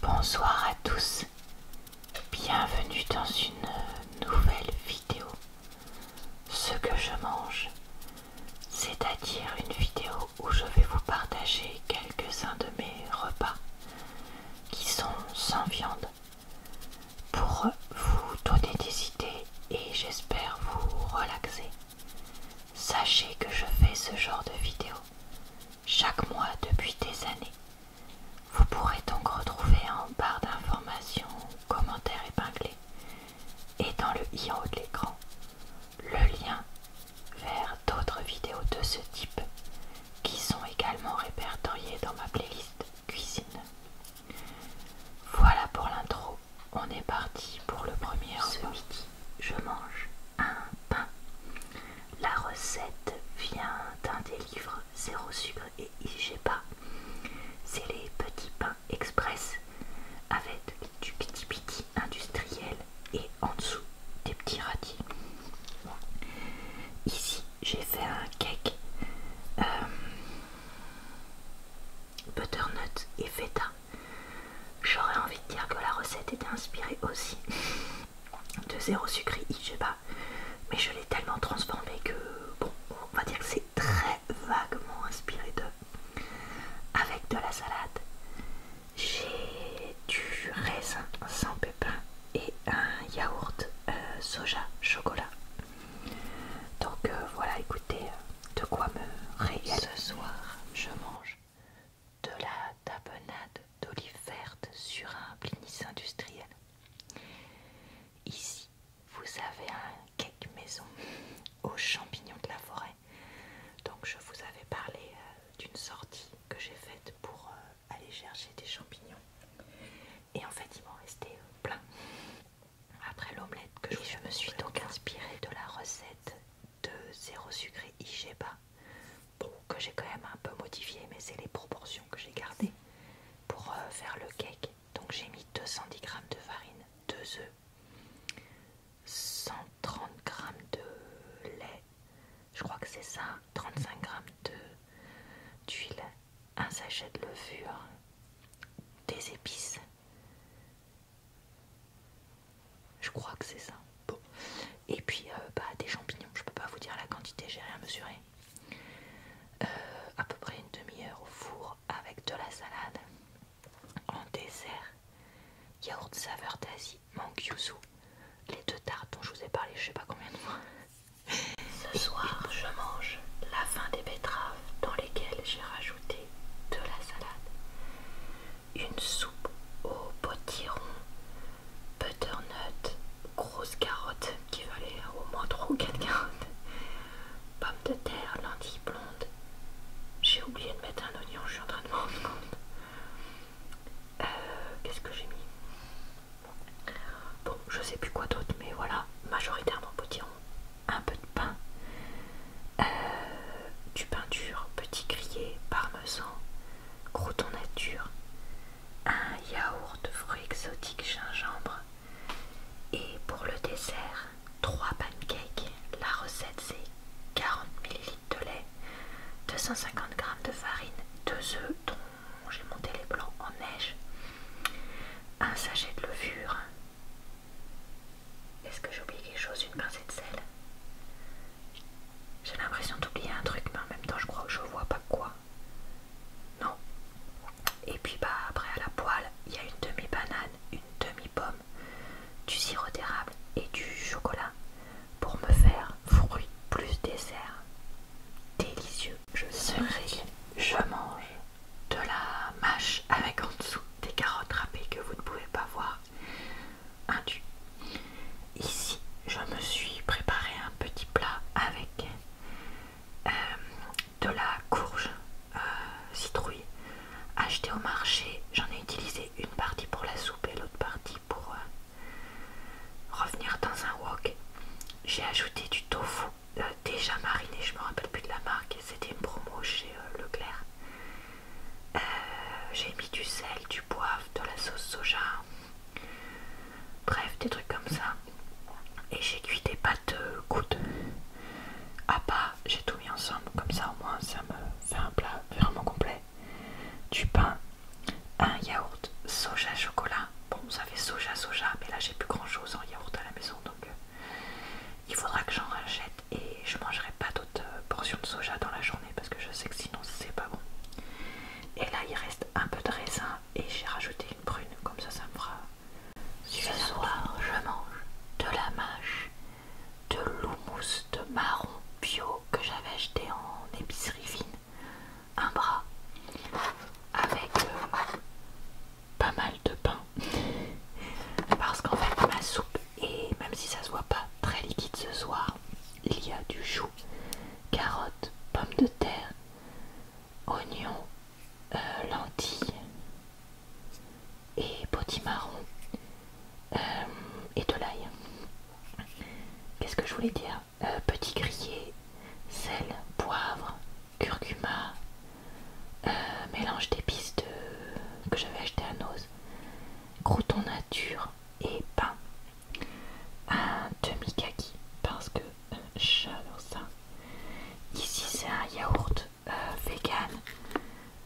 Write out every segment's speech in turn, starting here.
Bonsoir à tous, bienvenue dans une nouvelle vidéo. Ce que je mange, c'est-à-dire une vidéo où je vais vous partager quelques-uns de mes repas qui sont sans viande pour vous donner des idées et j'espère vous relaxer. Sachez que je fais ce genre de vidéo chaque mois depuis des années. Vous pourrez donc retrouver en barre d'informations, commentaires épinglés et dans le i en haut de l'écran le lien vers d'autres vidéos de ce type qui sont également répertoriées dans ma playlist cuisine. Voilà pour l'intro, on est parti pour le premier je mange un pain. La recette vient d'un des livres Zéro sucre et pas C'est les petits pains express avec du petit piti industriel et en dessous des petits radis. Ici, j'ai fait un cake euh, butternut et feta. J'aurais envie de dire que la recette était inspirée aussi de zéro sucré pas, mais je l'ai tellement transformé que bon, on va dire que c'est très vaguement inspiré de, Avec de la salade, j'ai du raisin sans pépins et un yaourt euh, soja chocolat. Donc euh, voilà, écoutez, de quoi me régaler. Ce soir, je mange de la tapenade d'olive verte sur un blinis industriel. Ici, vous avez un cake maison aux champignons de la forêt. Donc je vous avais parlé euh, d'une sortie que j'ai faite pour euh, aller chercher des champignons. Et en fait, ils m'ont resté euh, plein après l'omelette que je, me suis donc inspirée de la recette de zéro sucré Igeba que j'ai quand même un peu modifié, mais c'est les proportions que j'ai gardées pour euh, faire le cake. Donc j'ai mis 210 g de farine, 2 œufs, 130 g de lait, je crois que c'est ça, 35 g d'huile, un sachet de levure, des épices, je crois que c'est ça. Et puis euh, bah, des champignons, je ne peux pas vous dire la quantité, j'ai rien mesuré. Euh, à peu près une demi-heure au four avec de la salade. En dessert, yaourt de saveur d'Asie, mankyousou Les deux tartes dont je vous ai parlé, je sais pas combien de fois. Ce soir, je mange la fin des betteraves dans lesquelles j'ai rajouté de la salade une soupe au potiron, butternut, Grosse carotte qui valait au moins 3 ou 4 carottes, pommes de terre, lentilles blondes. J'ai oublié de mettre un oignon, je suis en train de me rendre compte. Euh, qu'est-ce que j'ai mis Bon, je sais plus quoi d'autre, mais voilà, majoritairement potiron, un peu de pain, euh, du pain petit grillé, parmesan, Crouton nature, un yaourt de fruits exotiques gingembre et pour le dessert, 3 pancakes. La recette c'est 40 ml de lait, 250 g de farine, 2 œufs dont j'ai monté les blancs en neige, un sachet de levure. Est-ce que j'ai oublié quelque chose Une pincée de sel j'ai l'impression d'oublier un truc, mais en même temps, je crois que je vois pas quoi. Non. Et puis, bah, après, à la poêle, il y a une demi-banane, une demi-pomme, du sirop d'érable et du chocolat pour me faire fruit plus dessert. Délicieux. Je serai, je mange de la mâche avec en dessous des carottes râpées que vous ne pouvez pas voir Ici, je me suis préparé un petit plat avec euh, de la courge euh, citrouille achetée au marché. J'en ai utilisé une partie pour la soupe et l'autre partie pour euh, revenir dans un wok. J'ai ajouté du tofu déjà mariné, je me rappelle plus de la marque, c'était une promo chez Leclerc. J'ai mis du sel, du de la sauce soja, bref, des trucs comme ça. Et j'ai cuit des pâtes gouttes à pas, j'ai tout mis ensemble, comme ça au moins ça me fait un plat vraiment complet. Du pain, un yaourt soja chocolat. Bon, ça fait soja soja, mais là j'ai plus grand chose en yaourt à la maison donc euh, il faudra que j'en rachète et je mangerai pas d'autres portion de soja dans la journée parce que je sais que sinon c'est pas bon. Et là il reste un peu de raisin et j'ai rajouté une prune, comme ça ça me fera Ce soir je mange de la mâche, de l'houmous de marron bio que j'avais acheté en épicerie fine, un bras, avec euh, pas mal de pain. Parce qu'en fait ma soupe, et même si ça se voit pas très liquide ce soir, il y a du chou carottes, pommes de terre, oignons, euh, lentilles et potimarron marron euh, et de l'ail. Qu'est-ce que je voulais dire euh, Petit grillé, sel, poivre, curcuma, mélange d'épices que j'avais acheté à Noz, crouton nature et pain un demi-kaki parce que euh, j'adore ça. Ici c'est un yaourt euh, vegan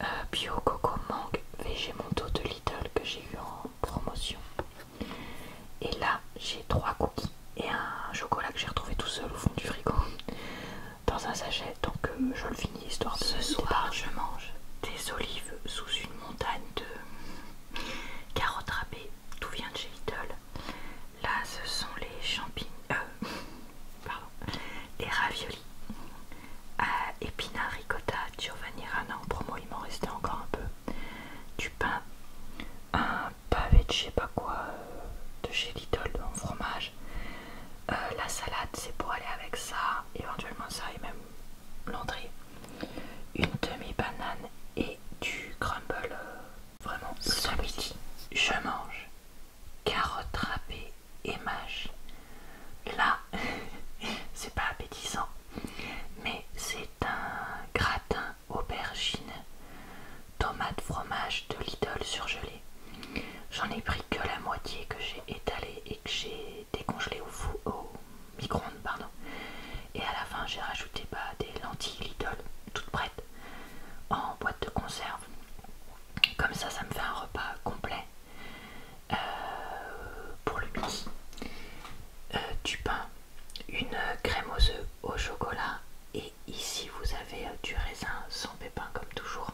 euh, bio coco mangue végémonto de Little que j'ai eu en promotion. Et là j'ai trois cookies et un chocolat que j'ai retrouvé tout seul au fond du frigo dans un sachet donc je le finis histoire de ce soir. Je mange des olives sous une montagne de Carottes râpées, tout vient de chez Lidl. Là, ce sont les champignons, euh, pardon, les raviolis. épinards ricotta, Giovanni Rana en promo, il m'en restait encore un peu. Du pain, un pavé de je sais pas quoi, euh, de chez Lidl en fromage. Euh, la salade, c'est pour aller avec ça, éventuellement ça et même l'entrée une demi-banane et du crumble vraiment ce Je mange carottes râpées et mâche. Là, c'est pas appétissant, mais c'est un gratin aubergine, tomate fromage de Lidl surgelé. J'en ai pris que la moitié que j'ai étalée que j'ai décongelé au, au micro-ondes. Pardon. Et à la fin, j'ai rajouté bah, des lentilles Lidl toutes prêtes en boîte de conserve. Comme ça, ça me fait un repas complet euh, pour le midi. Euh, du pain, une crème aux œufs au chocolat et ici vous avez euh, du raisin sans pépins comme toujours.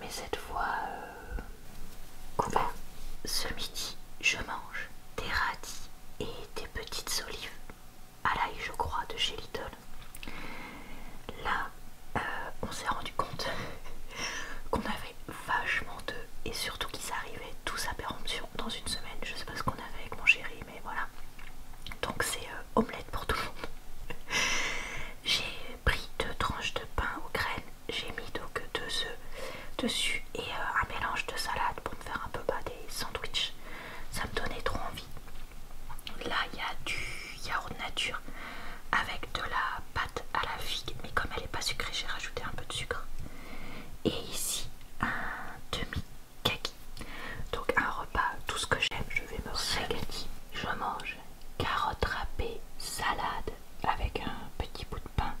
mais cette fois, Coucou, ce midi je mange des radis et des petites olives à l'ail, je crois, de chez Lidl. Là, euh, on s'est rendu compte qu'on avait vachement d'œufs et surtout qu'ils arrivaient tous à péremption dans une semaine. Je sais pas ce qu'on avait avec mon chéri, mais voilà. Donc c'est euh, omelette pour tout le monde. J'ai pris deux tranches de pain aux graines j'ai mis donc deux œufs dessus et euh, un mélange de salade pour me faire un peu bas des sandwichs. Ça me donnait trop envie. Là, il y a du yaourt nature avec de la pâte à la figue, mais comme elle n'est pas sucrée, j'ai rajouté un peu de sucre. Et ici, un demi caqui Donc, un repas, tout ce que j'aime, je vais me régaler. Je mange carottes râpées, salade, avec un petit bout de pain.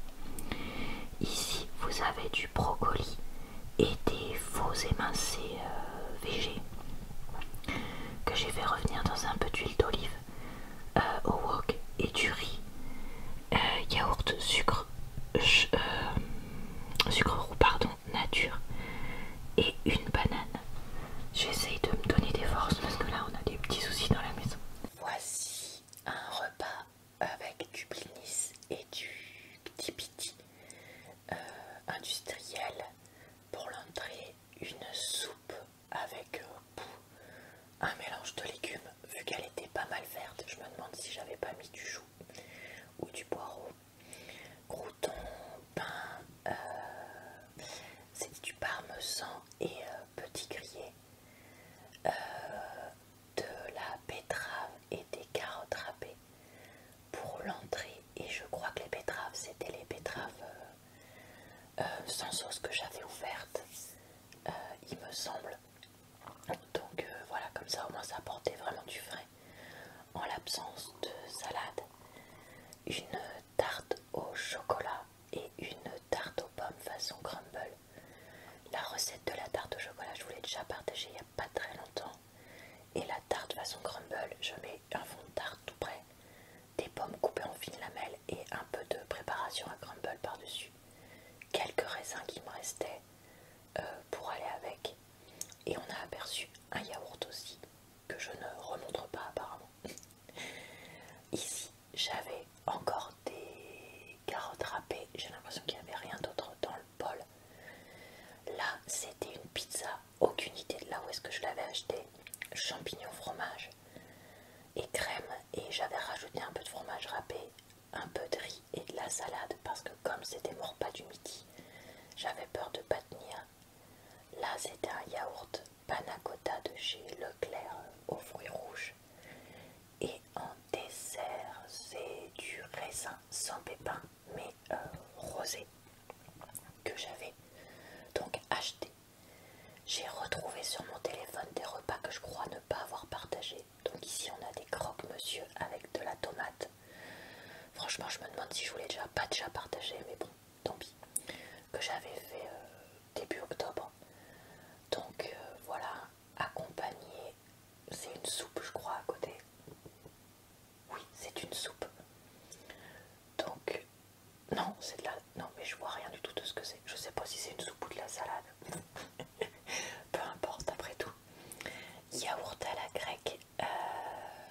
Ici, vous avez du brocoli et des faux émincés euh, végé que j'ai fait revenir dans un peu d'huile d'olive euh, au wok et du riz, euh, yaourt, sucre, sucre roux, pardon, nature et une banane. J'essaye de me donner des forces parce que là on a des petits soucis dans la maison. Voici un repas avec du blinis et du piti euh, industriel pour l'entrée, une soupe avec euh, un mélange de légumes vu qu'elle était pas mal verte. Je me demande si j'avais pas mis du chou ou du poireau. Crouton, pain, euh, c'est du parmesan et petit grillé. Euh, de la betterave et des carottes râpées pour l'entrée. Et je crois que les betteraves, c'était les betteraves euh, euh, sans sauce que j'avais ouvertes, il me semble. Donc voilà, comme ça au moins ça apportait vraiment du frais. En l'absence de salade, une tarte au chocolat et une tarte aux pommes façon crumble. La recette de la tarte au chocolat, je vous l'ai déjà partagée il n'y a pas très longtemps. Et la tarte façon crumble, je mets un fond de tarte tout près, des pommes coupées en fines lamelles et un peu de préparation à crumble par-dessus. Quelques raisins qui me restaient euh, pour aller avec. Et on a aperçu un yaourt aussi, que je ne remontre pas apparemment. Ici, j'avais encore des carottes râpées, j'ai l'impression qu'il n'y avait rien d'autre dans le bol. Là, c'était une pizza, aucune idée de là où est-ce que je l'avais achetée, champignons, fromage et crème, et j'avais rajouté un peu de fromage râpé, un peu de riz et de la salade, parce que comme c'était mon repas du midi, j'avais peur de pas tenir. Là, c'était un yaourt panacotta de chez Leclerc aux fruits rouges. Et en dessert, c'est du raisin sans pépins, mais euh, rosé, que j'avais donc acheté. J'ai retrouvé sur mon téléphone des repas que je crois ne pas avoir partagé, Donc ici on a des croque-monsieur avec de la tomate. Franchement je me demande si je voulais déjà pas déjà partager mais bon, tant pis. Que j'avais fait euh, début octobre. Donc euh, voilà, accompagné, c'est une soupe je crois à côté. Oui, c'est une soupe. Donc, non, c'est de la... Non, mais je vois rien du tout de ce que c'est. Je sais pas si c'est une soupe ou de la salade. Peu importe, après tout. Yaourt à la grecque euh,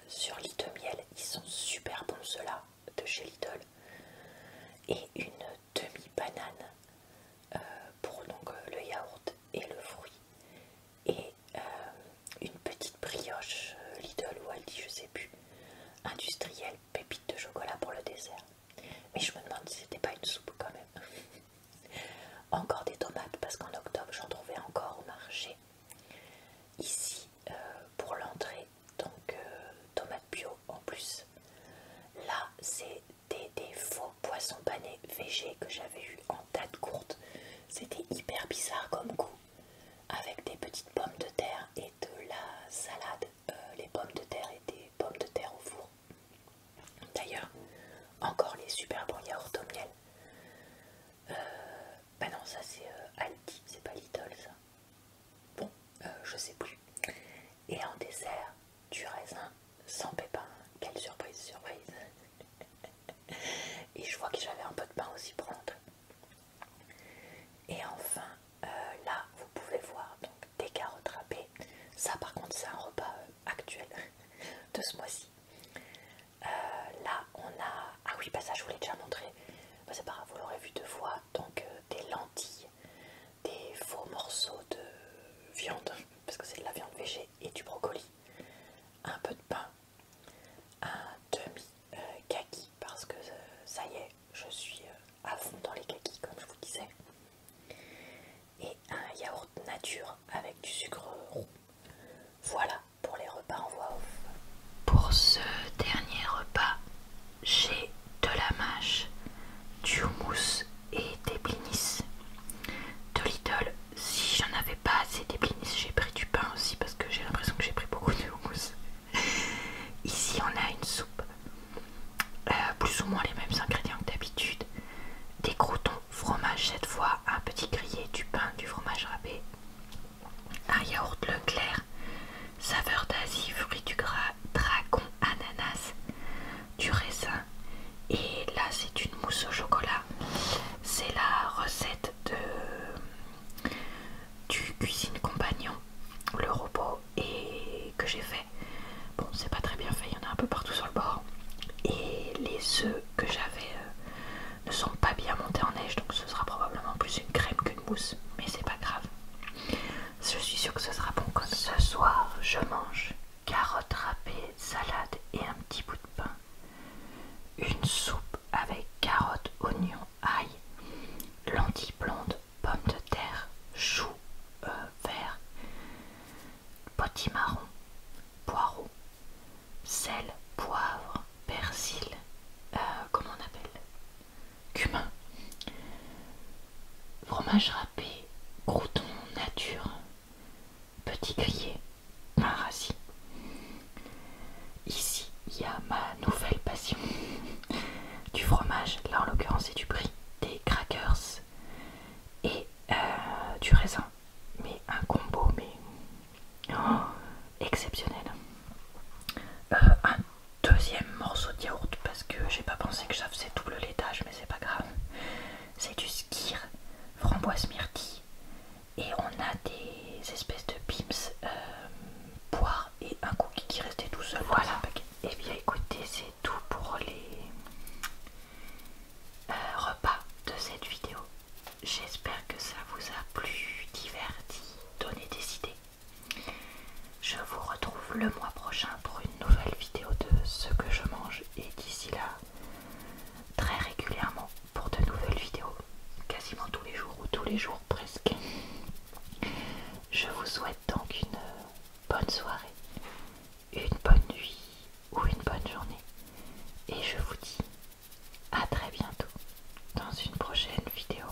sur lit de miel. Ils sont super bons ceux-là de chez Lidl. Et une demi-banane euh, pour donc, euh, le yaourt et le fruit. Et euh, une petite brioche Lidl ou Aldi, je sais plus, industrielle, pépite de chocolat pour le dessert. Mais je me demande si c'était pas une soupe quand même. encore des tomates parce qu'en octobre j'en trouvais encore au marché. Ici, pour l'entrée, donc euh, tomates bio en plus. Là, c'est des, faux poissons panés végés que j'avais eu en tas courte. C'était hyper bizarre comme goût, avec des petites pommes de terre et de la salade. Euh, les pommes de terre et des pommes de terre au four. D'ailleurs, encore les super bons yaourts au miel. Euh, bah non, ça c'est Aldi, c'est pas Lidl ça. Bon, euh, je sais plus. Et en dessert, du raisin sans pépin. Quelle surprise, surprise. Et je vois que j'avais un peu de pain aussi pour Et enfin, euh, là, vous pouvez voir donc, des carottes râpées. Ça, par contre, c'est un repas euh, actuel de ce mois-ci. là, on a... Ah oui, bah ça, je vous l'ai déjà montré. Bah, c'est pas grave, vous l'aurez vu deux fois. Donc, des lentilles des faux morceaux de viande, parce que c'est de la viande végé et du brocoli, un peu de pain, un demi euh, kaki, parce que euh, ça y est, je suis euh, à fond dans les kakis comme je vous disais, et un yaourt nature avec du sucre roux. Voilà pour les repas en voix off. Pour ce dernier repas, j'ai de la mâche, du houmous et des blinis. De Lidl, si j'en avais pas assez des blinis, j'ai pris du pain aussi parce que j'ai l'impression que j'ai pris beaucoup de houmous. Ici, on a une soupe, euh, plus ou moins les mêmes ingrédients que d'habitude. Des croutons, fromage cette fois, un petit grillé, du pain, du fromage râpé, un yaourt clair saveur d'Asie, fruits du gras, dragon, ananas, du raisin. Et là, c'est une mousse au chocolat. C'est la recette de du cuisine compagnon, le robot, et que j'ai fait. Bon, c'est pas très bien fait, il y en a un peu partout sur le bord. Et les œufs que j'avais euh, ne sont pas bien montés en neige, donc ce sera probablement plus une crème qu'une mousse, mais c'est pas grave. Je suis sûre que ce sera bon comme Ce soir, je mange carottes râpées, salade et un petit bout de pain. Une soupe avec carottes, oignons, ail, lentilles blondes, pommes de terre, choux vert, euh, verts, potimarron, poireaux, sel, poivre, persil, euh, comment on appelle cumin, fromage râpé, crouton nature, petit grillé, un Ici, il y a ma nouvelle passion. Du fromage, là en l'occurrence c'est du brie, des crackers et euh, du raisin. Mais un combo, mais oh, exceptionnel. Euh, deuxième morceau de yaourt parce que j'ai pas pensé que ça faisait double le mais c'est pas grave. C'est du skir, framboise myrtille, et on a des espèces de pips poire euh, et un cookie qui restait tout seul. Voilà, et eh bien écoutez, c'est tout pour les euh, repas de cette vidéo. J'espère que ça vous a plu, diverti, donné des idées. Je vous retrouve le mois prochain pour une nouvelle vidéo de ce que je mange et d'ici là, très régulièrement pour de nouvelles vidéos, quasiment tous les jours ou tous les jours presque. Je vous souhaite donc une bonne soirée, une bonne nuit ou une bonne journée et je vous dis à très bientôt dans une prochaine vidéo